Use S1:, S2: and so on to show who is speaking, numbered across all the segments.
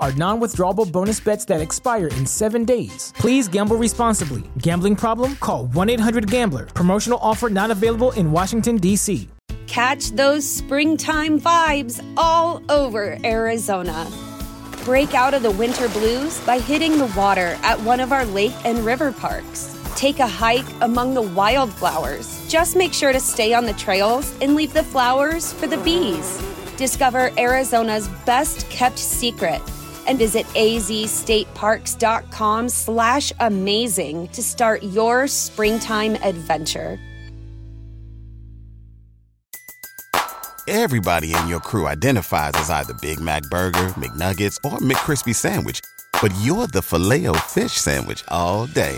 S1: are non withdrawable bonus bets that expire in seven days. Please gamble responsibly. Gambling problem? Call 1 800 Gambler. Promotional offer not available in Washington, D.C.
S2: Catch those springtime vibes all over Arizona. Break out of the winter blues by hitting the water at one of our lake and river parks. Take a hike among the wildflowers. Just make sure to stay on the trails and leave the flowers for the bees. Discover Arizona's best kept secret and visit azstateparks.com slash amazing to start your springtime adventure. Everybody in your crew identifies as either Big Mac Burger, McNuggets, or McCrispy Sandwich, but you're the filet fish Sandwich all day.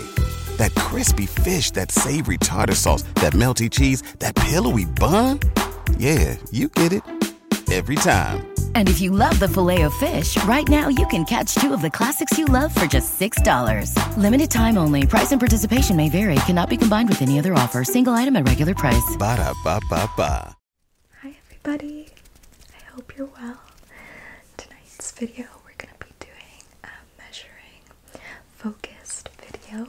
S2: That crispy fish, that savory tartar sauce, that melty cheese, that pillowy bun. Yeah, you get it every time. And if you love the filet of fish, right now you can catch two of the classics you love for just $6. Limited time only. Price and participation may vary. Cannot be combined with any other offer. Single item at regular price. Ba da ba ba ba. Hi, everybody. I hope you're well. Tonight's video, we're going to be doing um, measuring focused video.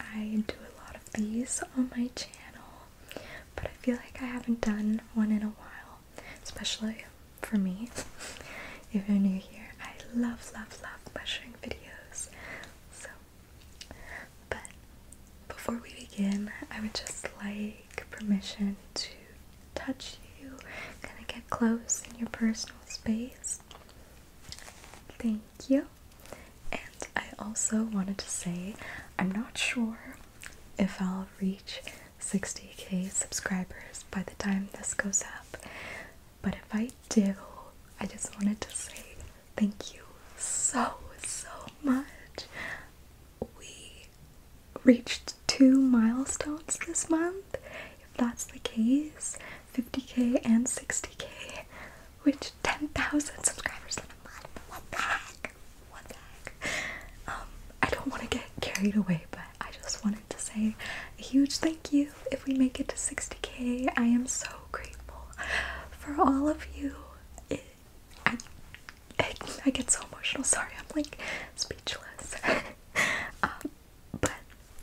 S2: I do a lot of these on my channel, but I feel like I haven't done one in a while, especially for me. if you're new here, I love, love, love measuring videos. So, but before we begin, I would just like permission to touch you, kind of get close in your personal space. Thank you. And I also wanted to say I'm not sure if I'll reach 60k subscribers by the time this goes up, but if I do, I just wanted to say thank you so, so much. We reached two milestones this month, if that's the case, 50k and 60k, which 10,000 subscribers in a month, what the heck, what the heck, um, I don't want to get carried away, but I just wanted to say a huge thank you if we make it to 60k, I am so grateful for all of you, I, I, I get so emotional, sorry, I'm like speechless, um, but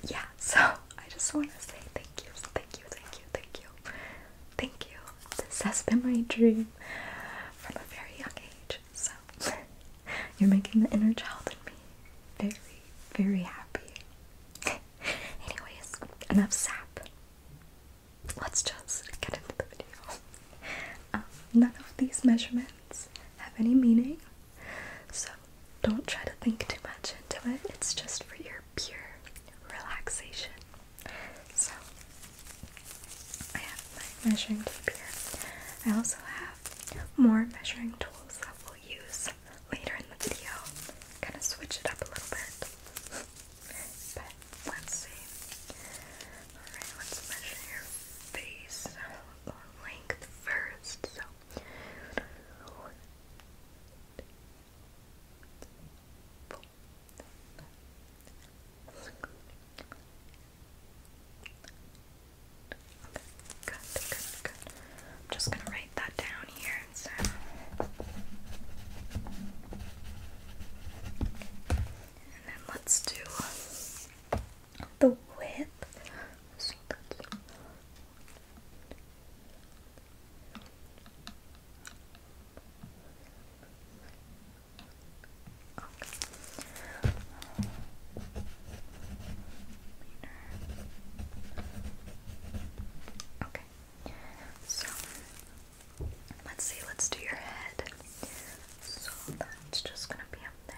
S2: yeah, so I just want to say thank you, thank you, thank you, thank you, thank you. This has been my dream from a very young age. So you're making the inner child in me very, very happy. Anyways, enough sap. Let's just get into the video. Um, none of these measurements have any meaning. So don't try to think too much into it, it's just for your pure relaxation. So I have my measuring tape here. I also have more measuring tools that we'll use later in the video. Kind of switch it up a little bit. but let's see. Alright, let's measure your face uh, length first. So I'm just gonna write that down here and then let's do the width. Okay. So let's see, let's do your head. So that's just gonna be up there.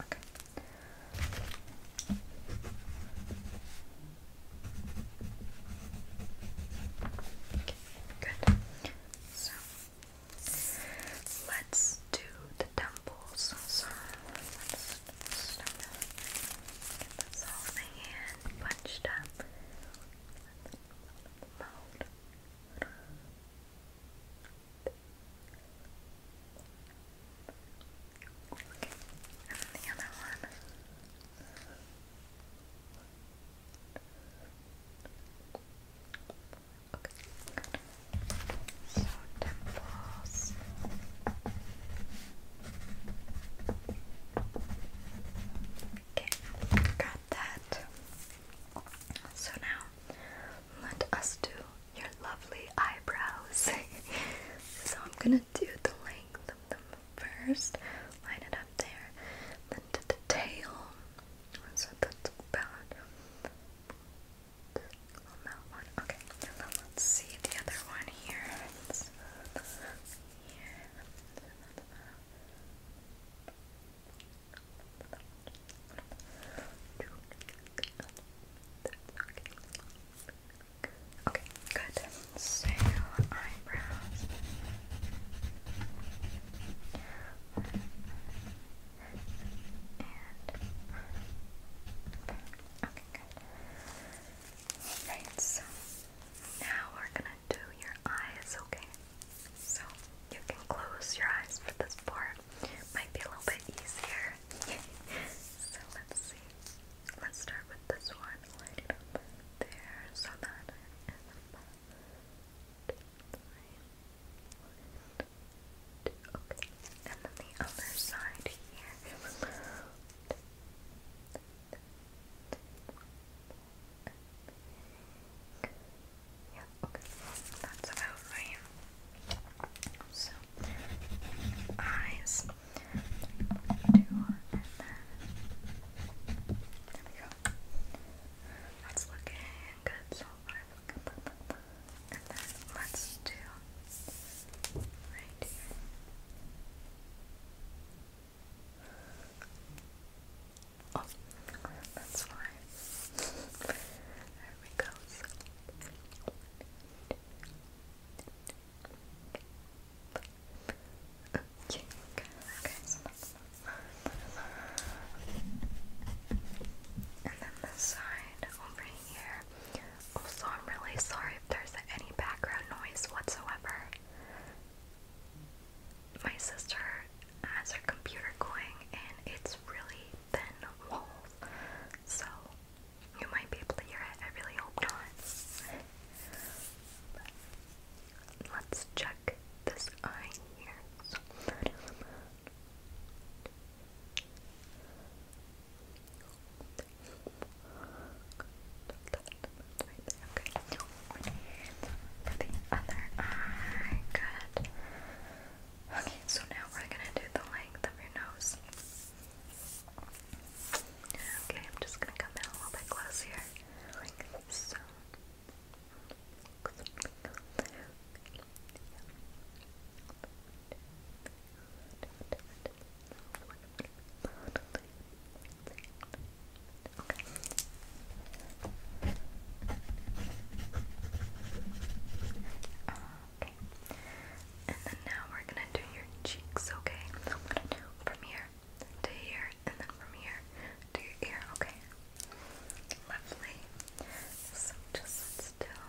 S2: Okay. Good. So let's do the temples. let's Get this all the hand bunched up mold. Okay, and the other one. Okay, So temples. Okay. Okay, got that. So now let us do your lovely eyebrows. so I'm gonna do the length of them first, line it up there, then to the tail. So that's about one. Okay, now let's see the other one here. Let's, let's, here. Okay, good. So eyebrows. And okay, good. Alright, so now we're gonna do your eyes, okay? So you can close your eyes for this part. Might be a little bit easier. so let's see. Let's start with this one. Light it up there so that Okay. And then the other side here. Yeah, okay, that's about right. So, eyes, two, and then there we go. That's looking good so far. And then let's do down right Oh, that's fine. there we go. okay, okay, so that's and then this side over here, also, I'm really sorry if there's any background noise whatsoever. My sister has her computer going and it's really thin walls, so you might be able to hear it. I really hope not. let's check this eye here. Okay. For the other eye. Good. Okay, so now we're gonna do the length of your nose. Okay, I'm just gonna come in a little bit close here. Okay. And then now we're gonna do your cheeks, okay? from here to here, and then from here to your ear, okay? Lovely. So just still.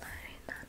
S2: Line that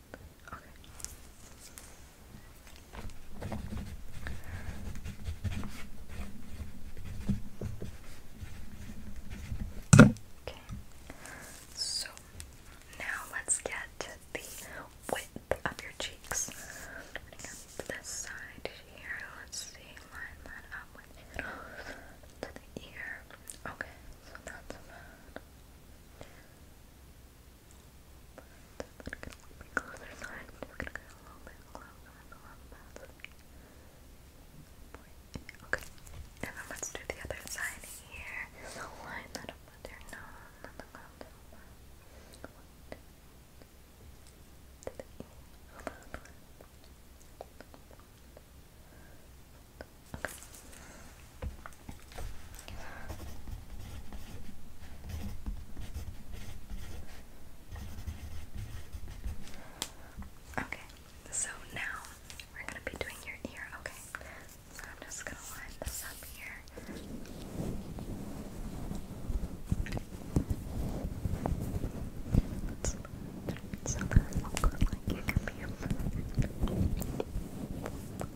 S2: Okay. So now let's get the width of your cheeks. this side here. Let's see. Line that up with the ear. Okay. So that's about. But i gonna be closer, so I'm just gonna go a little bit closer, Okay, and then let's do the other side here. line that up with your and then go to the left. One, two, to the ear. One, two, Okay. so now we're gonna be doing your ear, okay? So I'm just gonna line this up here. Let's turn so like it can be a and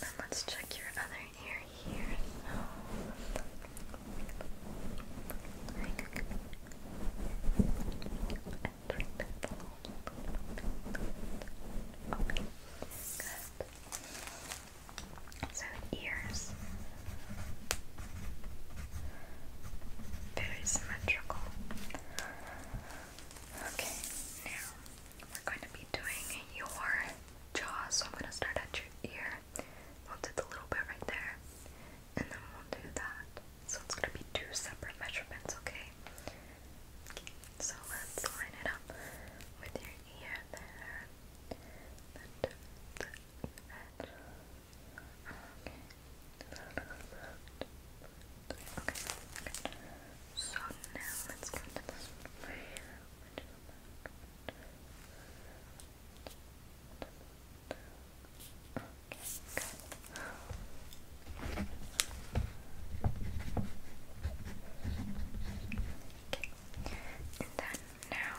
S2: then let's check your other ear here. Okay. Good. So ears. Very symmetrical. Okay, now we're going to be doing your jaw, so I'm going to start at your ear. We'll do the little bit right there, and then we'll do that. So it's going to be two separate measurements, okay? okay so let's line it up with your ear there. And, and, and. Okay, good. So now let's go to this Okay, good. Okay. And then now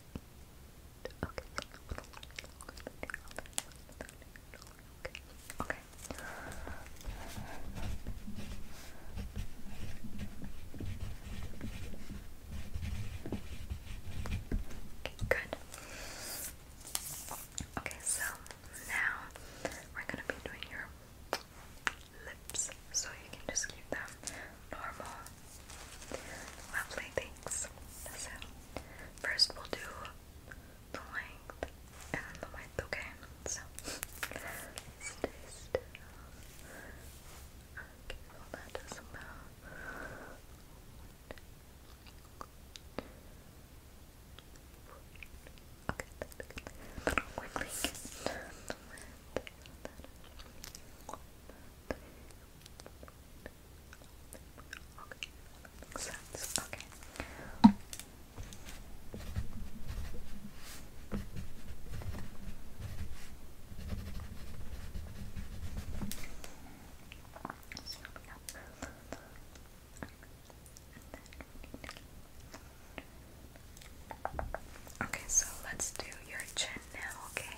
S2: Okay. Okay. Okay, good. Okay, so now we're gonna be doing your lips, so you can just keep them normal Lovely, thanks. So, first we'll do the length and then the width, okay? So, stay uh, Okay, well that Quickly Okay, makes sense. Okay. Okay, so let's do your chin now, okay?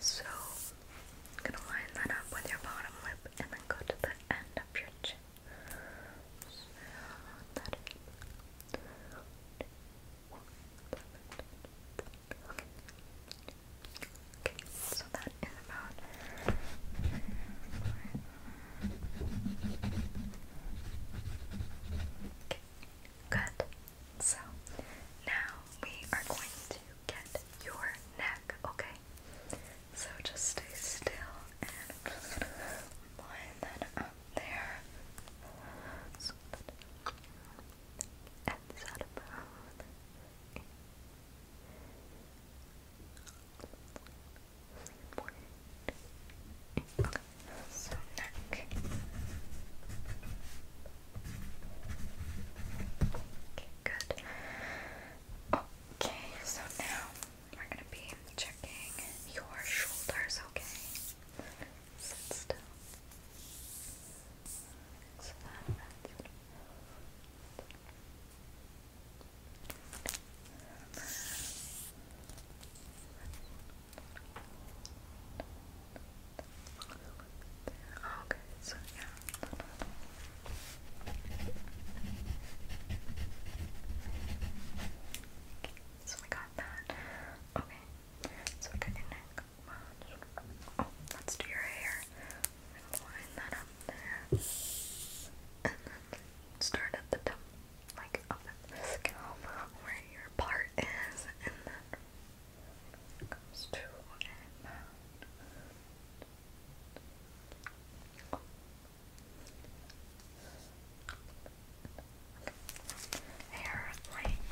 S2: So, I'm gonna line that up with your bottom lip and then go to the end of your chin. So, that is. about good. So now we are going to get your neck, okay? So just stay still and I'm there. and this out of both. Okay, neck. Okay, good. Okay, so now we're gonna be checking your shoulders, okay? Sit still. So that, Okay, so yeah. so we got that. Okay, so we your neck. Oh, let's do your hair. line that up there. And then start at the top, like at the scalp where your part is, and then comes to and out. Hair length.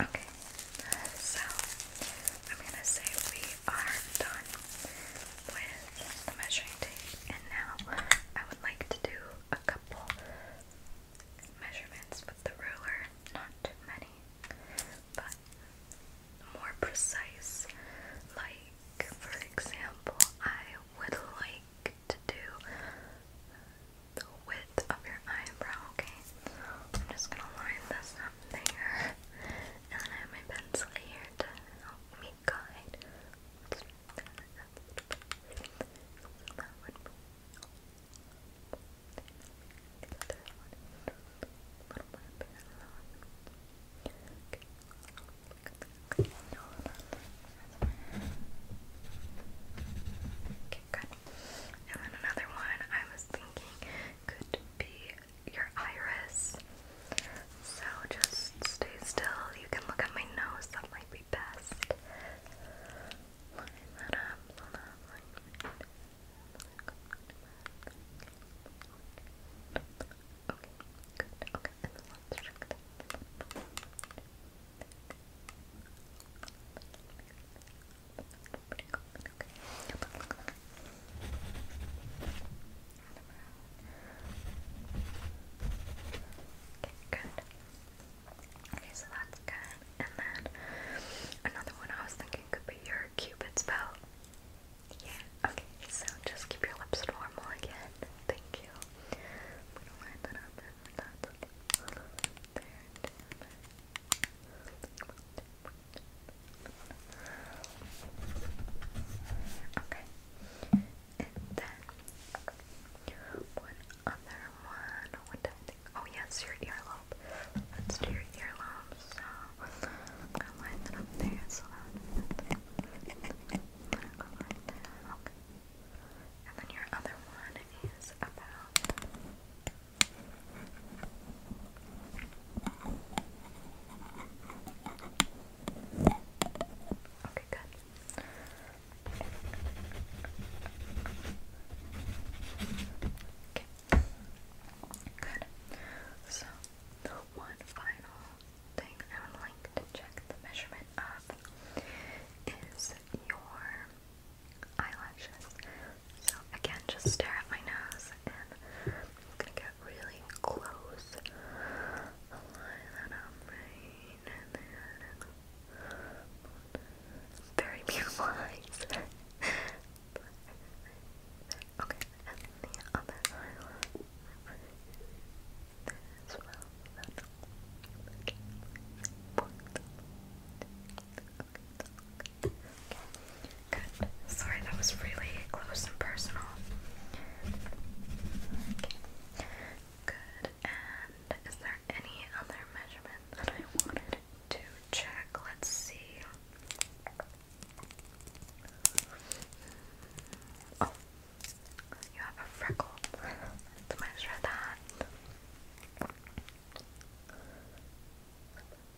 S2: Okay, so I'm gonna say we are done with the measuring tape. And now I would like to do a couple measurements with the ruler. Not too many, but more precise. Like, for example, I would like to do the width of your eyebrow, okay? I'm just gonna line this up there. And then I have my pencil here to help me kind. That And then another one I was thinking could be your iris. So just stay still. You can look at my nose, that might be best. Line that up, line that up. Okay, Okay. Okay, good. Okay, so that's good. And then another one I was thinking could be your cupid's bow. Yeah, okay, so just keep your lips normal again. Thank you. I'm gonna line that up there. Okay. And then one other one. What do I think? Oh yes, your earlobe. Let's do your earlobe. So I'm gonna line that up there so that Okay. And then your other one is about Okay, good. Okay. Good. So, one final thing I would like to check the measurement of is your eyelashes. So, again, just stare at my nose I'm gonna get really close. Align that up right and then very beautiful eyes. okay, and the other eye as well. Okay. Good. Sorry, that was really close and personal. Good. And is there any other measurement that I wanted to check? Let's see. Oh, you have a freckle. Let's measure that.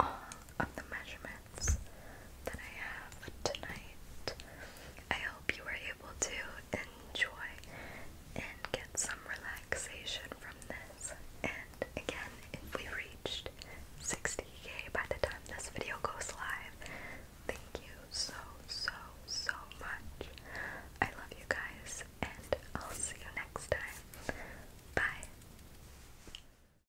S2: all of the measurements that I have tonight. I hope you were able to enjoy and get some relaxation from this. And again, if we reached 60k by the time this video goes live, thank you so, so, so much. I love you guys, and I'll see you next time. Bye.